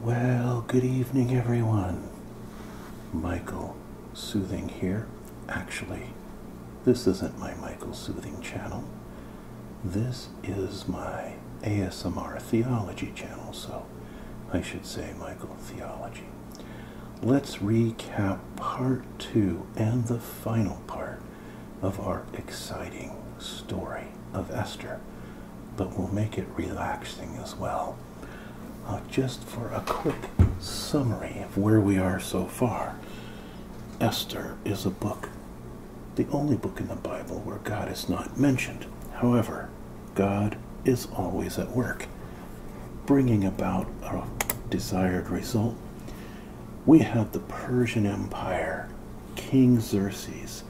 Well, good evening, everyone. Michael Soothing here. Actually, this isn't my Michael Soothing channel. This is my ASMR Theology channel, so I should say Michael Theology. Let's recap part two and the final part of our exciting story of Esther, but we'll make it relaxing as well. Uh, just for a quick summary of where we are so far, Esther is a book, the only book in the Bible where God is not mentioned. However, God is always at work, bringing about a desired result. We have the Persian Empire King Xerxes,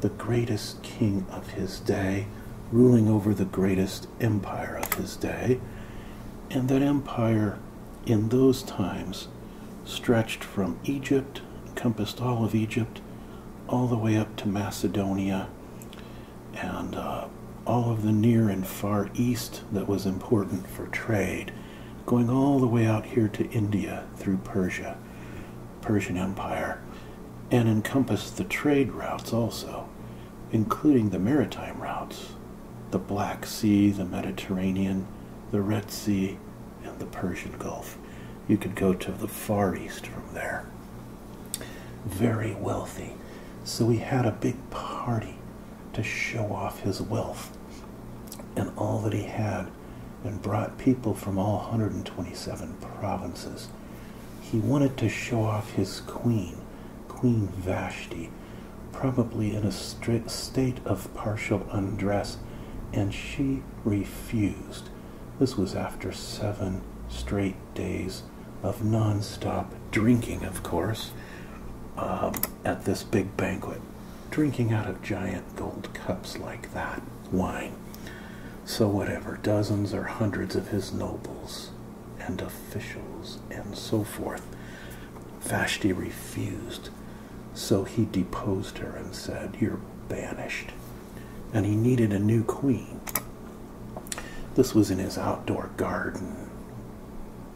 the greatest king of his day, ruling over the greatest empire of his day. And that empire in those times stretched from Egypt, encompassed all of Egypt, all the way up to Macedonia, and uh, all of the near and far east that was important for trade, going all the way out here to India through Persia. Persian Empire and encompassed the trade routes also, including the maritime routes the Black Sea, the Mediterranean, the Red Sea, and the Persian Gulf. You could go to the Far East from there. Very wealthy. So he had a big party to show off his wealth and all that he had and brought people from all 127 provinces. He wanted to show off his queen, Queen Vashti, probably in a state of partial undress, and she refused. This was after seven straight days of non-stop drinking, of course, um, at this big banquet drinking out of giant gold cups like that wine. So, whatever, dozens or hundreds of his nobles and officials and so forth. Vashti refused, so he deposed her and said, You're banished. And he needed a new queen. This was in his outdoor garden,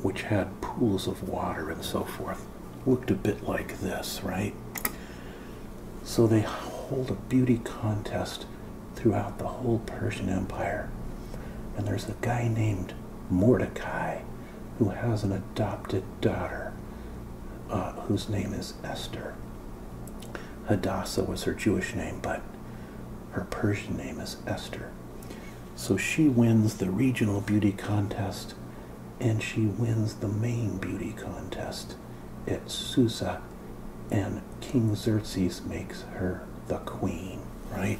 which had pools of water and so forth looked a bit like this, right? So they hold a beauty contest throughout the whole Persian Empire. And there's a guy named Mordecai who has an adopted daughter uh, whose name is Esther. Hadassah was her Jewish name, but her Persian name is Esther. So she wins the regional beauty contest and she wins the main beauty contest at Susa, and King Xerxes makes her the queen, right?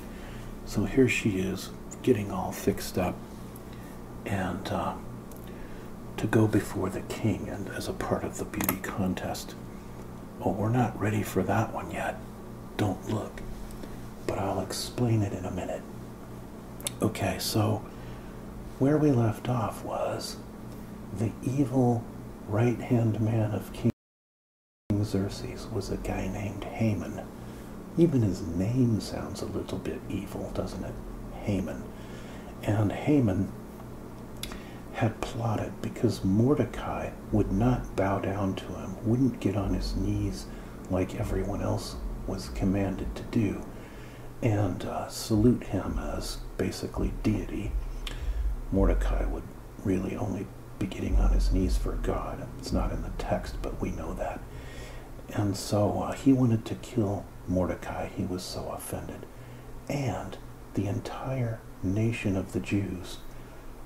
So here she is getting all fixed up and uh, to go before the king and as a part of the beauty contest. Oh, we're not ready for that one yet. Don't look. But I'll explain it in a minute. Okay, so where we left off was the evil right hand man of King Xerxes was a guy named Haman. Even his name sounds a little bit evil, doesn't it? Haman. And Haman had plotted because Mordecai would not bow down to him, wouldn't get on his knees like everyone else was commanded to do and uh, salute him as basically deity, Mordecai would really only be getting on his knees for God. It's not in the text, but we know that. And so uh, he wanted to kill Mordecai. He was so offended. And the entire nation of the Jews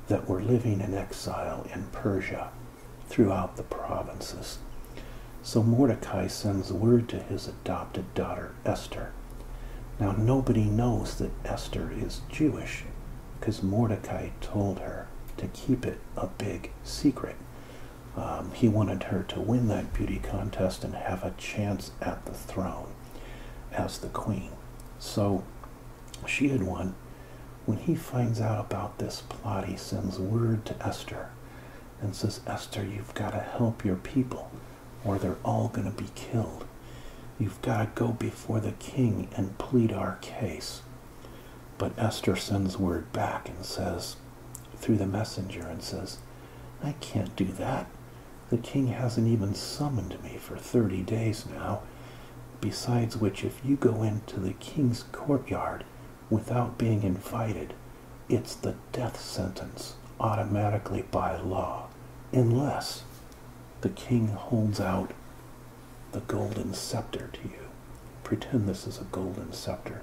that were living in exile in Persia throughout the provinces. So Mordecai sends word to his adopted daughter Esther. Now nobody knows that Esther is Jewish because Mordecai told her to keep it a big secret. Um, he wanted her to win that beauty contest and have a chance at the throne as the queen. So she had won. When he finds out about this plot, he sends word to Esther and says, Esther, you've got to help your people or they're all going to be killed. You've got to go before the king and plead our case. But Esther sends word back and says, through the messenger, and says, I can't do that. The king hasn't even summoned me for 30 days now. Besides which, if you go into the king's courtyard without being invited, it's the death sentence automatically by law, unless the king holds out the golden scepter to you. Pretend this is a golden scepter.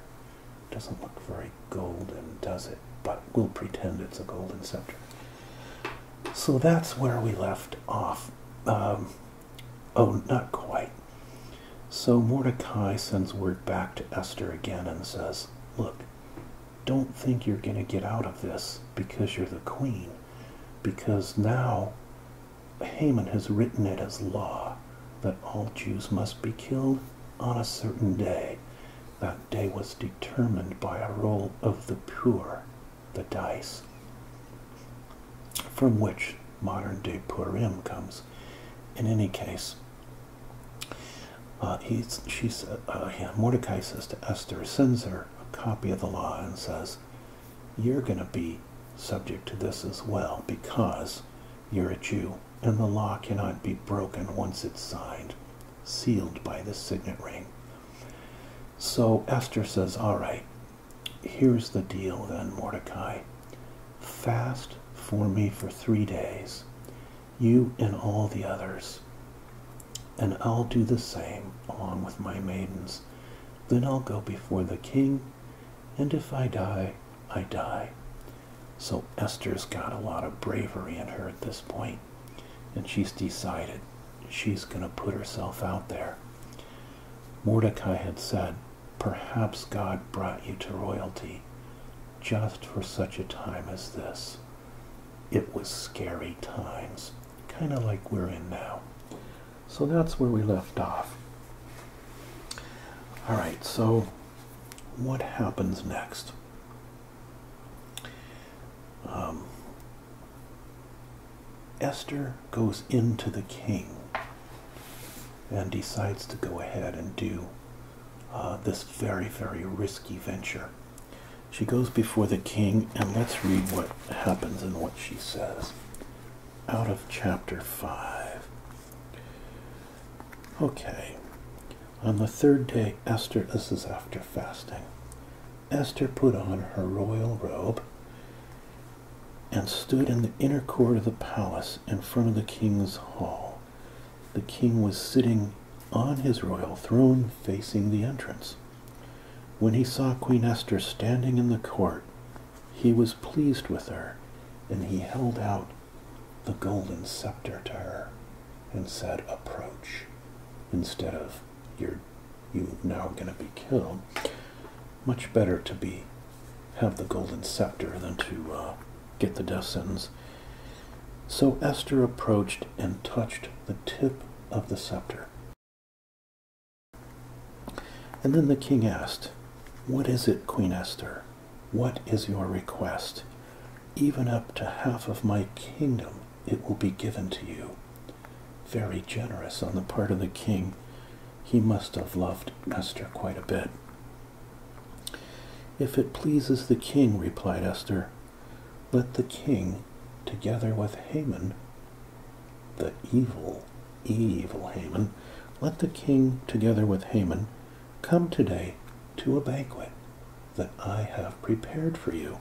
Doesn't look very golden, does it? But we'll pretend it's a golden scepter. So that's where we left off. Um, oh, not quite. So Mordecai sends word back to Esther again and says, Look, don't think you're going to get out of this because you're the queen, because now Haman has written it as law that all Jews must be killed on a certain day. That day was determined by a roll of the pure, the dice, from which modern day Purim comes. In any case, uh, uh, Mordecai says to Esther, sends her a copy of the law and says, You're going to be subject to this as well because you're a Jew, and the law cannot be broken once it's signed, sealed by the signet ring. So Esther says, All right, here's the deal then, Mordecai. Fast for me for three days, you and all the others, and I'll do the same along with my maidens. Then I'll go before the king, and if I die, I die. So Esther's got a lot of bravery in her at this point, and she's decided she's going to put herself out there. Mordecai had said, Perhaps God brought you to royalty just for such a time as this. It was scary times, kind of like we're in now. So that's where we left off. All right, so what happens next? Um, Esther goes into the king and decides to go ahead and do uh, this very, very risky venture. She goes before the king, and let's read what happens and what she says out of chapter 5. Okay. On the third day, Esther, this is after fasting, Esther put on her royal robe and stood in the inner court of the palace in front of the king's hall. The king was sitting on his royal throne facing the entrance. When he saw Queen Esther standing in the court, he was pleased with her, and he held out the golden scepter to her and said, Approach, instead of you're you now going to be killed. Much better to be have the golden scepter than to uh, get the death sentence. So Esther approached and touched the tip of the scepter. And then the king asked, What is it, Queen Esther? What is your request? Even up to half of my kingdom it will be given to you. Very generous on the part of the king. He must have loved Esther quite a bit. If it pleases the king, replied Esther, let the king, together with Haman, the evil, evil Haman, let the king, together with Haman, come today to a banquet that I have prepared for you.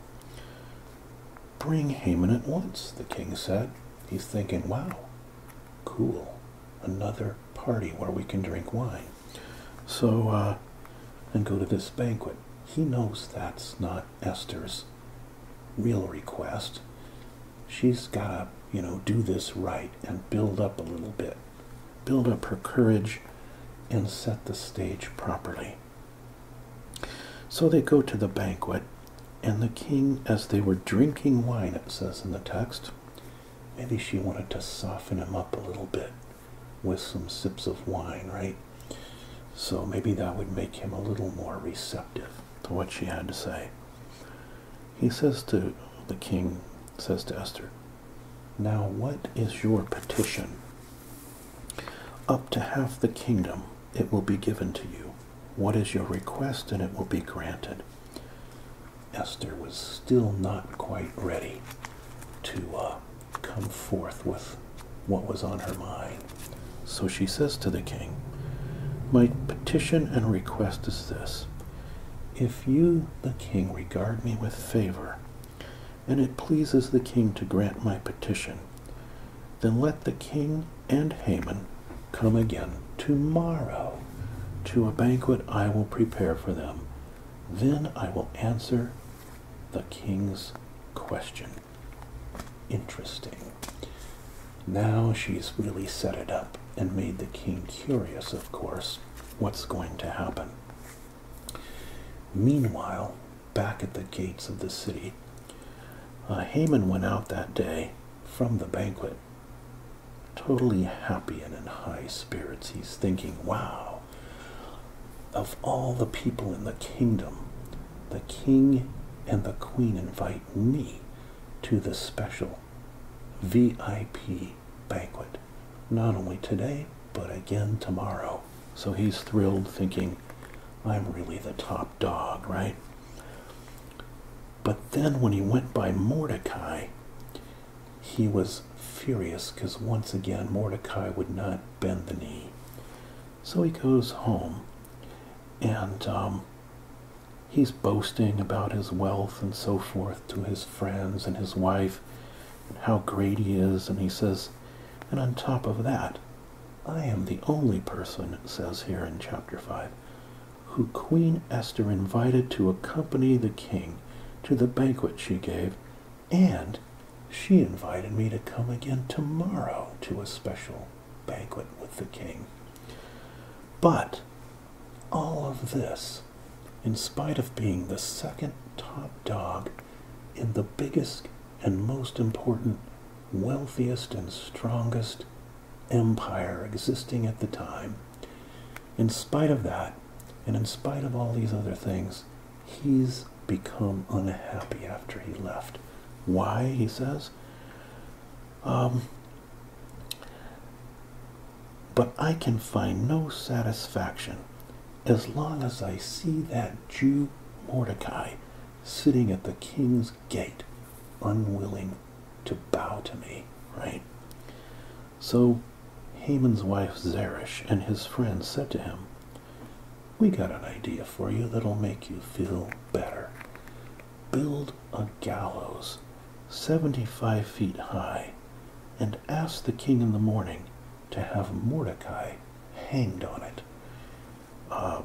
Bring Haman at once, the king said. He's thinking, wow, cool another party where we can drink wine. So, uh, and go to this banquet. He knows that's not Esther's real request. She's got to, you know, do this right and build up a little bit, build up her courage and set the stage properly. So they go to the banquet, and the king, as they were drinking wine, it says in the text, Maybe she wanted to soften him up a little bit with some sips of wine, right? So maybe that would make him a little more receptive to what she had to say. He says to the king, says to Esther, Now what is your petition? Up to half the kingdom it will be given to you. What is your request and it will be granted. Esther was still not quite ready to uh, come forth with what was on her mind. So she says to the king, My petition and request is this If you, the king, regard me with favor, and it pleases the king to grant my petition, then let the king and Haman come again tomorrow to a banquet I will prepare for them. Then I will answer the king's question. Interesting. Now she's really set it up and made the king curious, of course, what's going to happen. Meanwhile, back at the gates of the city, Haman went out that day from the banquet Totally happy and in high spirits, he's thinking, Wow, of all the people in the kingdom, the king and the queen invite me to this special VIP banquet, not only today, but again tomorrow. So he's thrilled, thinking, I'm really the top dog, right? But then when he went by Mordecai, he was furious because once again Mordecai would not bend the knee. So he goes home and um, he's boasting about his wealth and so forth to his friends and his wife and how great he is. And he says, and on top of that, I am the only person, says here in chapter 5, who Queen Esther invited to accompany the king to the banquet she gave, and she invited me to come again tomorrow to a special banquet with the king. But all of this, in spite of being the second top dog in the biggest and most important, wealthiest and strongest empire existing at the time, in spite of that, and in spite of all these other things, he's become unhappy after he left. Why, he says? Um, but I can find no satisfaction as long as I see that Jew Mordecai sitting at the king's gate, unwilling to bow to me, right? So Haman's wife Zeresh and his friends said to him, We got an idea for you that'll make you feel better. Build a gallows 75 feet high and ask the king in the morning to have Mordecai hanged on it. Uh,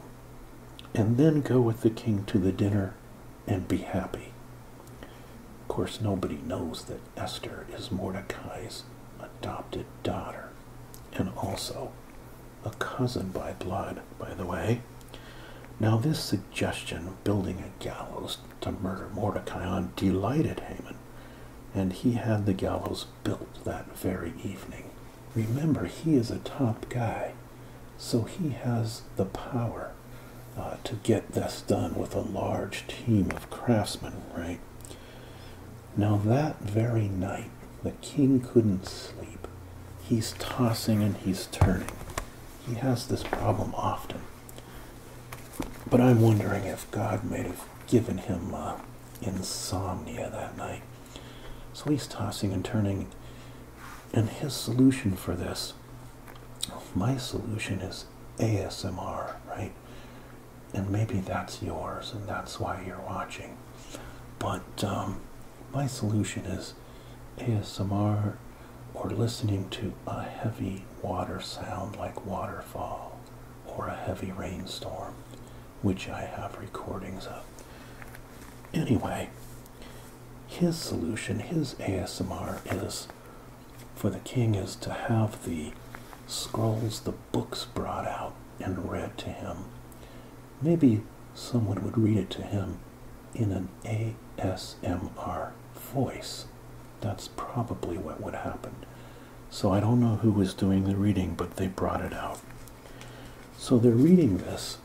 and then go with the king to the dinner and be happy. Of course, nobody knows that Esther is Mordecai's adopted daughter and also a cousin by blood, by the way. Now, this suggestion of building a gallows to murder Mordecai on delighted Haman, and he had the gallows built that very evening. Remember, he is a top guy, so he has the power uh, to get this done with a large team of craftsmen, right? Now, that very night, the king couldn't sleep. He's tossing and he's turning. He has this problem often. But I'm wondering if God may have given him uh, insomnia that night. So he's tossing and turning. And his solution for this, my solution is ASMR, right? And maybe that's yours and that's why you're watching. But um, my solution is ASMR or listening to a heavy water sound like waterfall or a heavy rainstorm, which I have recordings of. Anyway, his solution, his ASMR is for the king is to have the scrolls, the books brought out and read to him. Maybe someone would read it to him in an ASMR voice. That's probably what would happen. So I don't know who was doing the reading, but they brought it out. So they're reading this,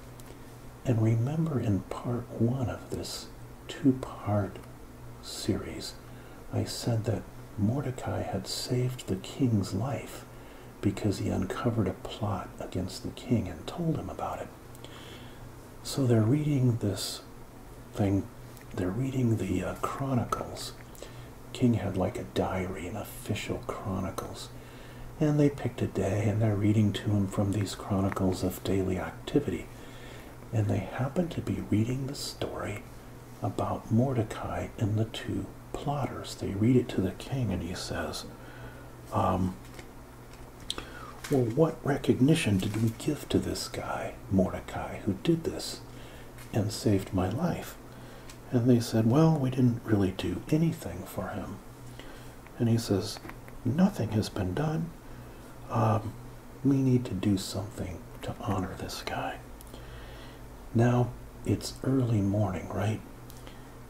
and remember in part one of this two part Ceres, I said that Mordecai had saved the king's life because he uncovered a plot against the king and told him about it. So they're reading this thing, they're reading the uh, Chronicles. King had like a diary, an official Chronicles. And they picked a day and they're reading to him from these Chronicles of daily activity and they happened to be reading the story about Mordecai and the two plotters. They read it to the king, and he says, um, Well, what recognition did we give to this guy, Mordecai, who did this and saved my life? And they said, Well, we didn't really do anything for him. And he says, Nothing has been done time, um, we need to do something to honor this guy. Now it's early morning, right?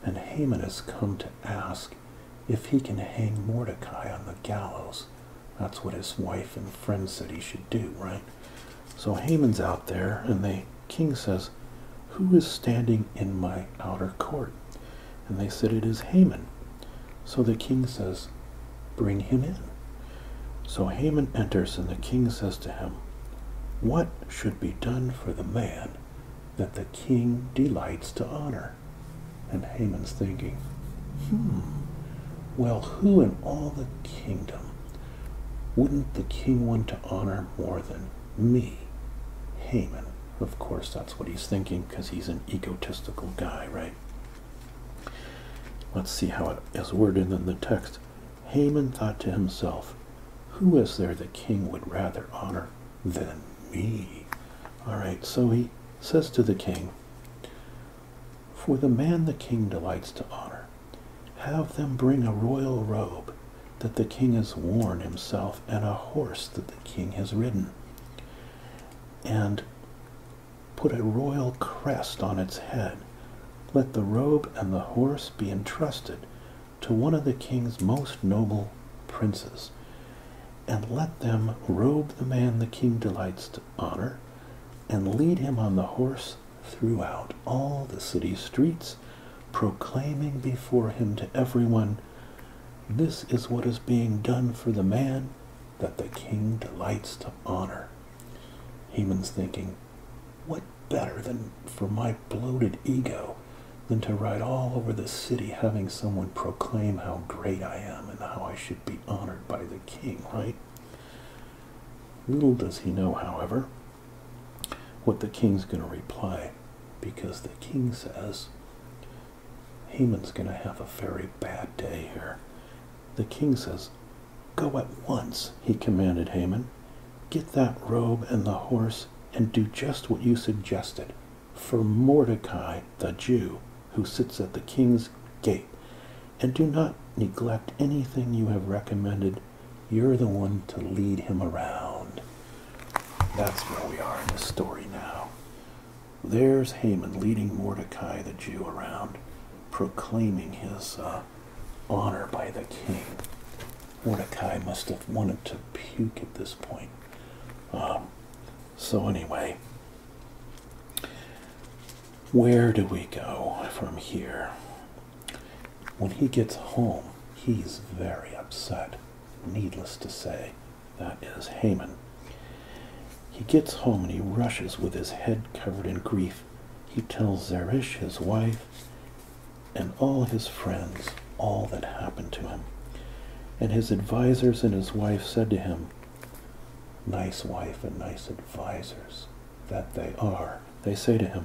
And Haman has come to ask if he can hang Mordecai on the gallows. That's what his wife and friends said he should do, right? So Haman's out there, and the king says, Who is standing in my outer court? And they said, It is Haman. So the king says, Bring him in. So Haman enters, and the king says to him, What should be done for the man that the king delights to honor? And Haman's thinking, Hmm, well, who in all the kingdom wouldn't the king want to honor more than me? Haman. Of course, that's what he's thinking because he's an egotistical guy, right? Let's see how it is worded in the text. Haman thought to himself, Who is there the king would rather honor than me? All right, so he says to the king, For the man the king delights to honor, have them bring a royal robe that the king has worn himself and a horse that the king has ridden. And Put a royal crest on its head. Let the robe and the horse be entrusted to one of the king's most noble princes, and let them robe the man the king delights to honor, and lead him on the horse throughout all the city streets, proclaiming before him to every one, This is what is being done for the man that the king delights to honor. Haman's thinking, what better than for my bloated ego than to ride all over the city having someone proclaim how great I am and how I should be honored by the king, right? Little does he know, however, what the king's going to reply because the king says, Haman's going to have a very bad day here. The king says, Go at once, he commanded Haman. Get that robe and the horse and do just what you suggested. For Mordecai the Jew, who sits at the king's gate, and do not neglect anything you have recommended. You're the one to lead him around. That's where we are in the story now. There's Haman leading Mordecai the Jew around, proclaiming his uh, honor by the king. Mordecai must have wanted to puke at this point. Um, so, anyway, where do we go from here? When he gets home, he's very upset, needless to say. That is Haman. He gets home and he rushes with his head covered in grief. He tells Zeresh, his wife, and all his friends all that happened to him. And his advisers and his wife said to him, Nice wife and nice advisers that they are. They say to him,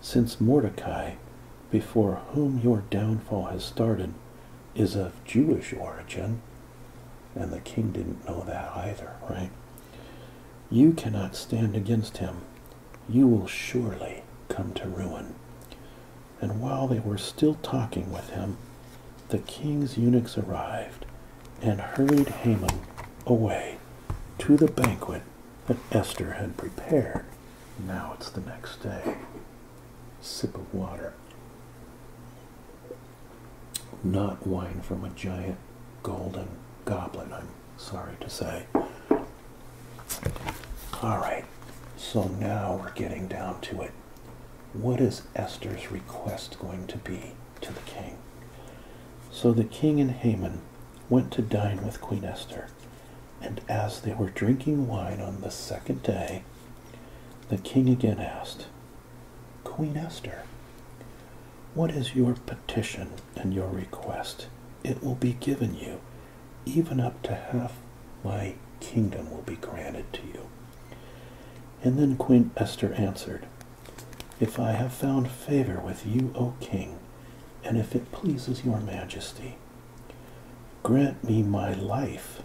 Since Mordecai, before whom your downfall has started, is of Jewish origin, and the king didn't know that either, right? You cannot stand against him. You will surely come to ruin. And while they were still talking with him, the king's eunuchs arrived and hurried Haman away to the banquet that Esther had prepared. Now it's the next day sip of water. Not wine from a giant golden goblet, I'm sorry to say. All right, so now we're getting down to it. What is Esther's request going to be to the king? So the king and Haman went to dine with Queen Esther, and as they were drinking wine on the second day, the king again asked, Queen Esther, what is your petition and your request? It will be given you, even up to half my kingdom will be granted to you. And then Queen Esther answered, If I have found favor with you, O king, and if it pleases your majesty, grant me my life.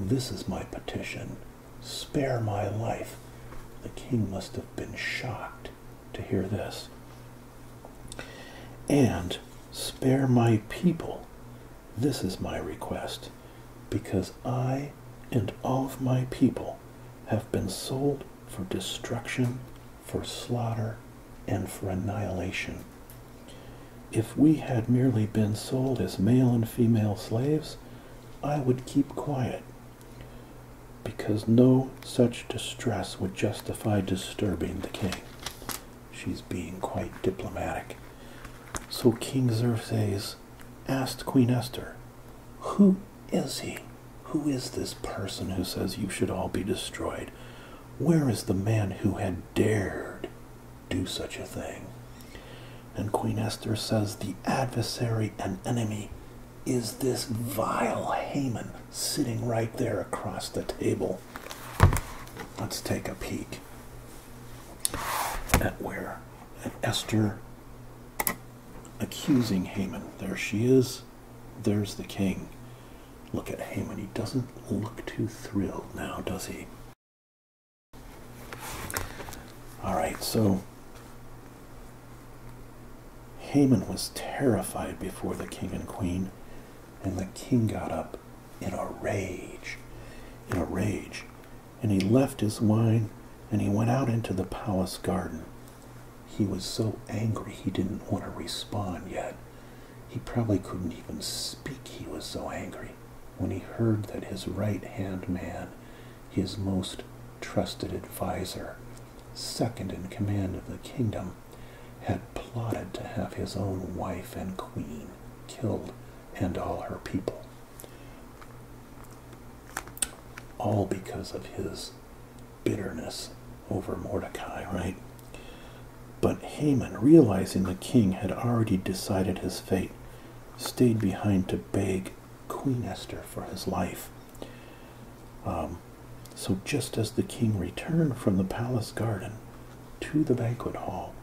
This is my petition Spare my life. The king must have been shocked to hear this. And spare my people. This is my request, because I and all of my people have been sold for destruction, for slaughter, and for annihilation. If we had merely been sold as male and female slaves, I would keep quiet, because no such distress would justify disturbing the king. She's being quite diplomatic. So King Xerxes asked Queen Esther, Who is he? Who is this person who says you should all be destroyed? Where is the man who had dared do such a thing. And Queen Esther says, The adversary and enemy is this vile Haman sitting right there across the table. Let's take a peek at where at Esther accusing Haman. There she is. There's the king. Look at Haman. He doesn't look too thrilled now, does he? All right, so Haman was terrified before the king and queen, and the king got up in a rage, in a rage, and he left his wine and he went out into the palace garden. He was so angry he didn't want to respond yet. He probably couldn't even speak, he was so angry when he heard that his right hand man, his most trusted adviser, second in command of the kingdom, had plotted to have his own wife and queen killed and all her people. All because of his bitterness over Mordecai, right? But Haman, realizing the king had already decided his fate, stayed behind to beg Queen Esther for his life. Um, so, just as the king returned from the palace garden to the banquet hall,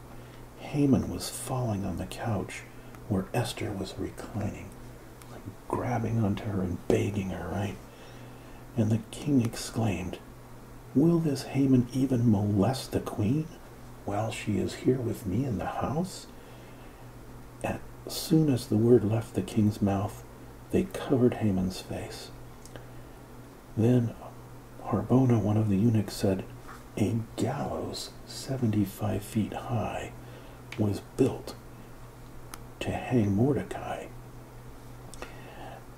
Haman was falling on the couch where Esther was reclining, like grabbing onto her and begging her, right? And the king exclaimed, Will this Haman even molest the queen? while she is here with me in the house? As soon as the word left the king's mouth, they covered Haman's face. Then Harbona, one of the eunuchs, said, A gallows 75 feet high was built to hang Mordecai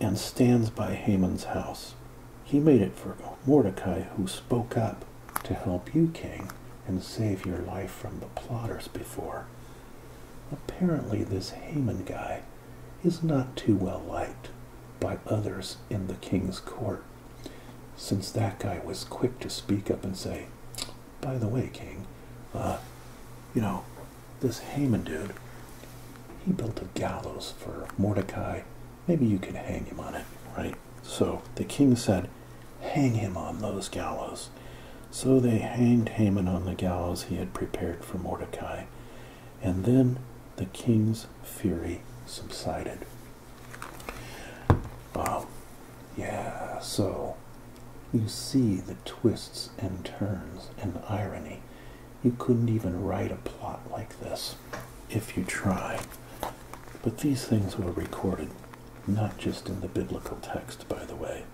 and stands by Haman's house. He made it for Mordecai, who spoke up to help you, king, and save your life from the plotters before. Apparently, this Haman guy is not too well liked by others in the king's court, since that guy was quick to speak up and say, By the way, king, uh, you know, this Haman dude, he built a gallows for Mordecai. Maybe you could hang him on it, right? So the king said, Hang him on those gallows. So they hanged Haman on the gallows he had prepared for Mordecai. And then the king's fury subsided. Um, yeah, so you see the twists and turns and irony. You couldn't even write a plot like this if you try. But these things were recorded not just in the biblical text, by the way.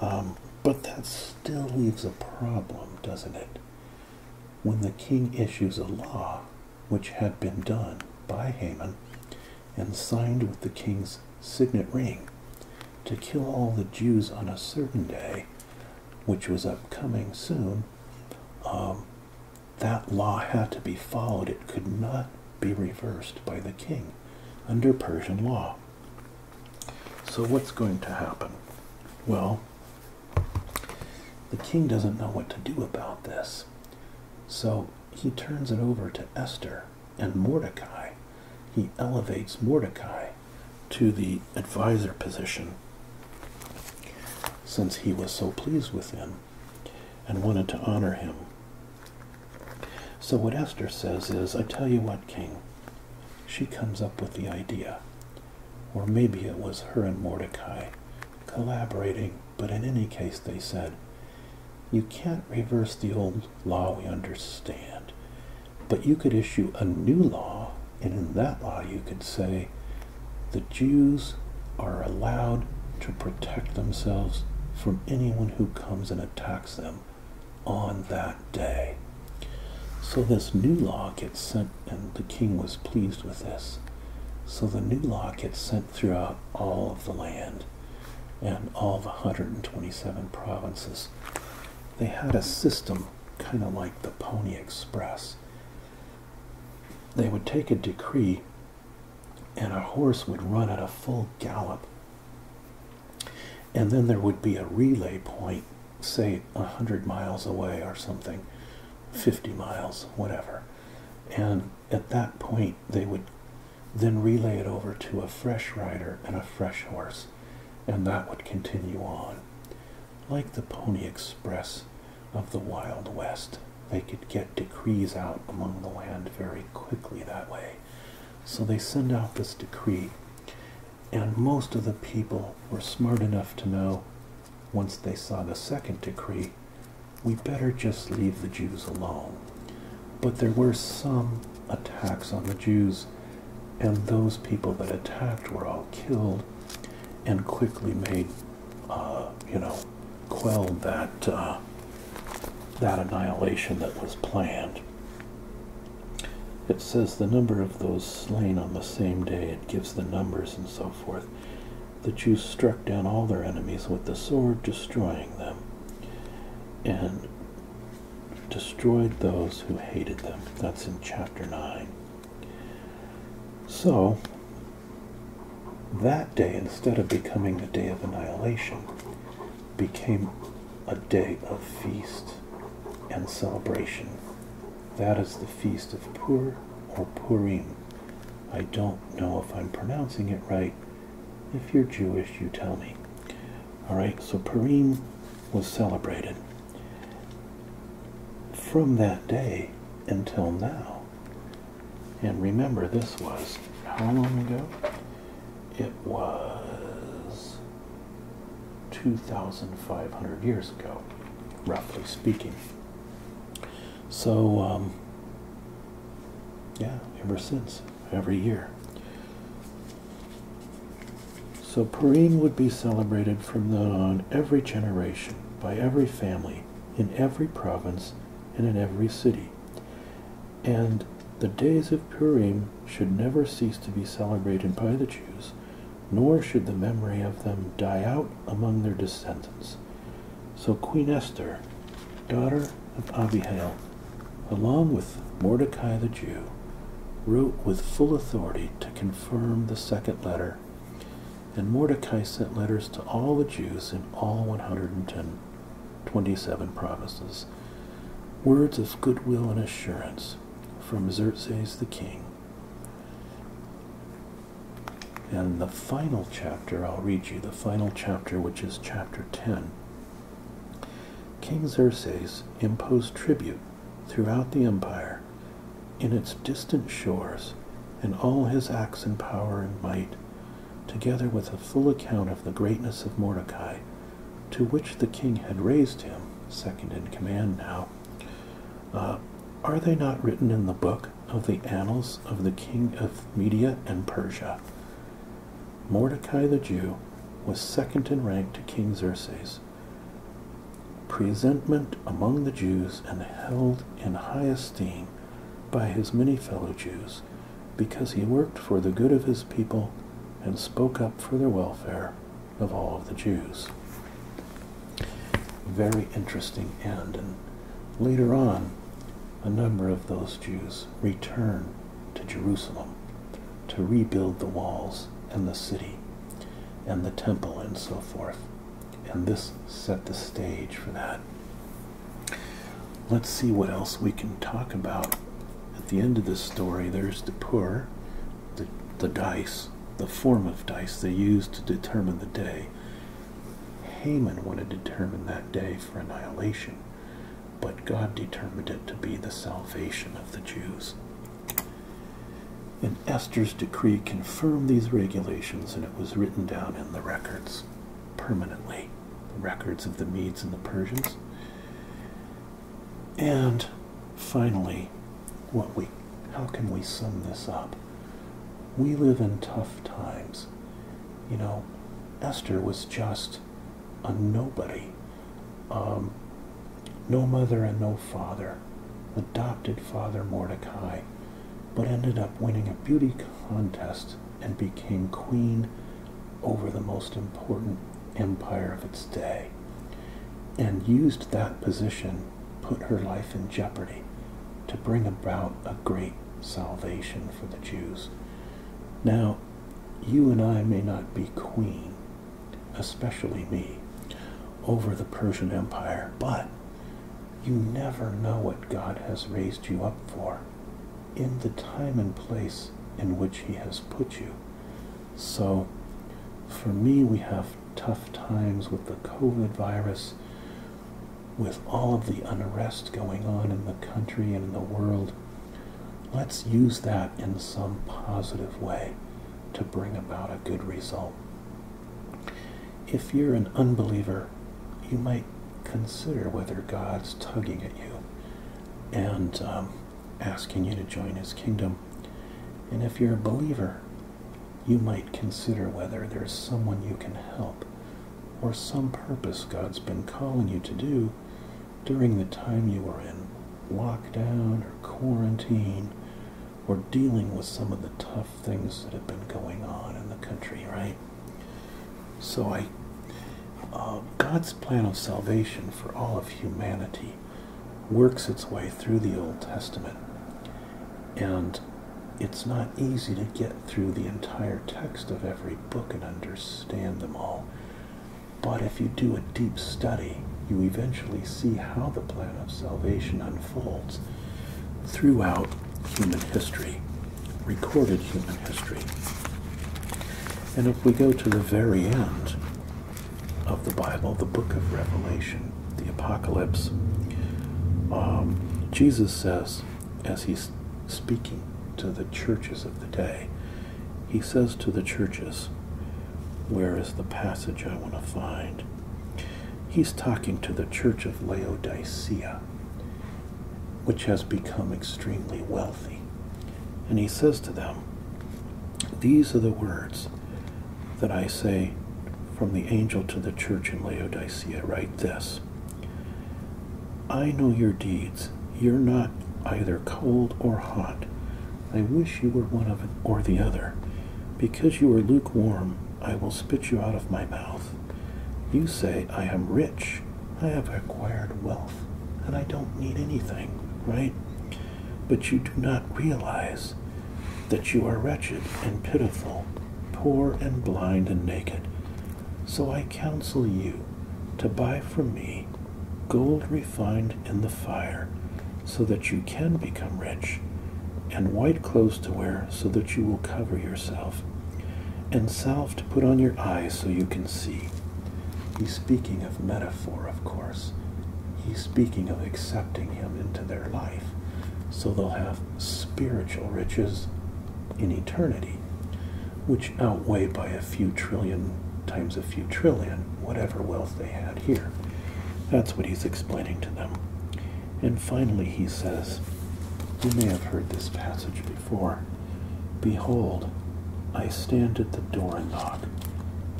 Um, but that still leaves a problem, doesn't it? When the king issues a law, which had been done by Haman and signed with the king's signet ring, to kill all the Jews on a certain day, which was upcoming soon, um, that law had to be followed. It could not be reversed by the king under Persian law. So, what's going to happen? Well, the king doesn't know what to do about this. So, he turns it over to Esther and Mordecai. He elevates Mordecai to the advisor position since he was so pleased with him and wanted to honor him. So, what Esther says is, I tell you what, King, she comes up with the idea, or maybe it was her and Mordecai collaborating, but in any case, they said, You can't reverse the old law we understand, but you could issue a new law and in that law, you could say the Jews are allowed to protect themselves from anyone who comes and attacks them on that day. So this new law gets sent, and the king was pleased with this. So the new law gets sent throughout all of the land and all the 127 provinces. They had a system kind of like the Pony Express they would take a decree, and a horse would run at a full gallop. And then there would be a relay point, say a 100 miles away or something, 50 miles, whatever. And at that point, they would then relay it over to a fresh rider and a fresh horse, and that would continue on. Like the Pony Express of the Wild West. They could get decrees out among the land very quickly that way. So they send out this decree, and most of the people were smart enough to know once they saw the second decree, we better just leave the Jews alone. But there were some attacks on the Jews, and those people that attacked were all killed and quickly made uh, you know, quelled that uh, that annihilation that was planned. It says the number of those slain on the same day. It gives the numbers and so forth. The Jews struck down all their enemies with the sword, destroying them, and destroyed those who hated them. That's in chapter 9. So, that day, instead of becoming the day of annihilation, became a day of feast and celebration. That is the Feast of Pur or Purim. I don't know if I'm pronouncing it right. If you're Jewish, you tell me. Alright, so Purim was celebrated. From that day until now, and remember, this was how long ago? It was 2,500 years ago, roughly speaking. So, um, yeah, ever since, every year. So Purim would be celebrated from then on every generation by every family in every province and in every city. And the days of Purim should never cease to be celebrated by the Jews, nor should the memory of them die out among their descendants. So Queen Esther, daughter of Abihail, along with Mordecai the Jew, wrote with full authority to confirm the second letter and Mordecai sent letters to all the Jews in all 110, provinces, words of goodwill and assurance from Xerxes the king. And the final chapter, I'll read you the final chapter, which is chapter 10. King Xerxes imposed tribute throughout the empire in its distant shores in all his acts and power and might, together with a full account of the greatness of Mordecai, to which the king had raised him, second in command now, uh, are they not written in the book of the annals of the king of Media and Persia? Mordecai the Jew was second in rank to King Xerxes, presentment among the Jews and held in high esteem by his many fellow Jews, because he worked for the good of his people and spoke up for the welfare of all of the Jews. Very interesting And later on, a number of those Jews return to Jerusalem to rebuild the walls and the city and the temple and so forth and this set the stage for that. Let's see what else we can talk about. At the end of this story, there's the pur, the, the dice, the form of dice they used to determine the day. Haman wanted to determine that day for annihilation, but God determined it to be the salvation of the Jews and Esther's decree confirmed these regulations, and it was written down in the records permanently, the records of the Medes and the Persians. And finally, what we how can we sum this up? We live in tough times. You know, Esther was just a nobody. Um, no mother and no father adopted Father Mordecai, but ended up winning a beauty contest and became queen over the most important empire of its day, and used that position, put her life in jeopardy, to bring about a great salvation for the Jews. Now, you and I may not be queen, especially me, over the Persian Empire, but you never know what God has raised you up for in the time and place in which He has put you. So, for me, we have tough times with the COVID virus, with all of the unrest going on in the country and in the world. Let's use that in some positive way to bring about a good result. If you're an unbeliever, you might consider whether God's tugging at you and um, asking you to join his kingdom. And if you're a believer, you might consider whether there's someone you can help or some purpose God's been calling you to do during the time you were in lockdown or quarantine we're dealing with some of the tough things that have been going on in the country, right? So I, uh, God's plan of salvation for all of humanity works its way through the Old Testament, and it's not easy to get through the entire text of every book and understand them all. But if you do a deep study, you eventually see how the plan of salvation unfolds unfolds throughout human history, recorded human history. And if we go to the very end of the Bible, the book of Revelation, the Apocalypse, um, Jesus says, as he's speaking to the churches of the day, he says to the churches, Where is the passage I want to find He's talking to the church of Laodicea, which has become extremely wealthy. And he says to them, These are the words that I say from the angel to the church in Laodicea. Write this I know your deeds. You're not either cold or hot. I wish you were one of or the other. Because you are lukewarm, I will spit you out of my mouth. You say, I am rich, I have acquired wealth, and I don't need anything, right? But you do not realize that you are wretched and pitiful, poor and blind and naked. So I counsel you to buy from me gold refined in the fire, so that you can become rich, and white clothes to wear so that you will cover yourself, and salve to put on your eyes so you can see. He's speaking of metaphor, of course. He's speaking of accepting him into their life so they'll have spiritual riches in eternity, which outweigh by a few trillion times a few trillion whatever wealth they had here. That's what he's explaining to them. And finally he says, You may have heard this passage before. Behold, I stand at the door and knock.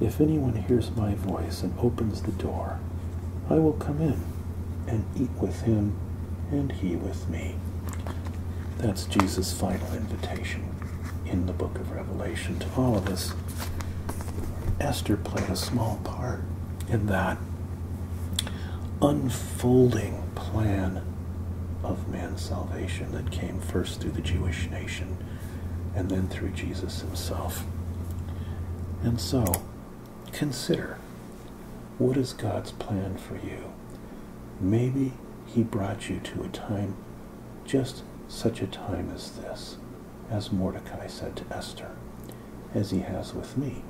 If anyone hears my voice and opens the door, I will come in and eat with him and he with me. That's Jesus' final invitation in the book of Revelation to all of us. Esther played a small part in that unfolding plan of man's salvation that came first through the Jewish nation and then through Jesus himself. And so, consider what is God's plan for you? Maybe He brought you to a time, just such a time as this, as Mordecai said to Esther as he has with me.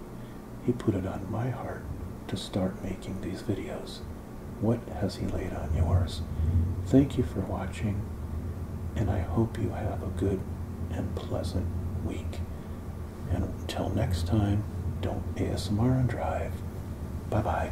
He put it on my heart to start making these videos. What has he laid on yours? Thank you for watching, and I hope you have a good and pleasant week. And until next time, don't ASMR and drive. Bye-bye.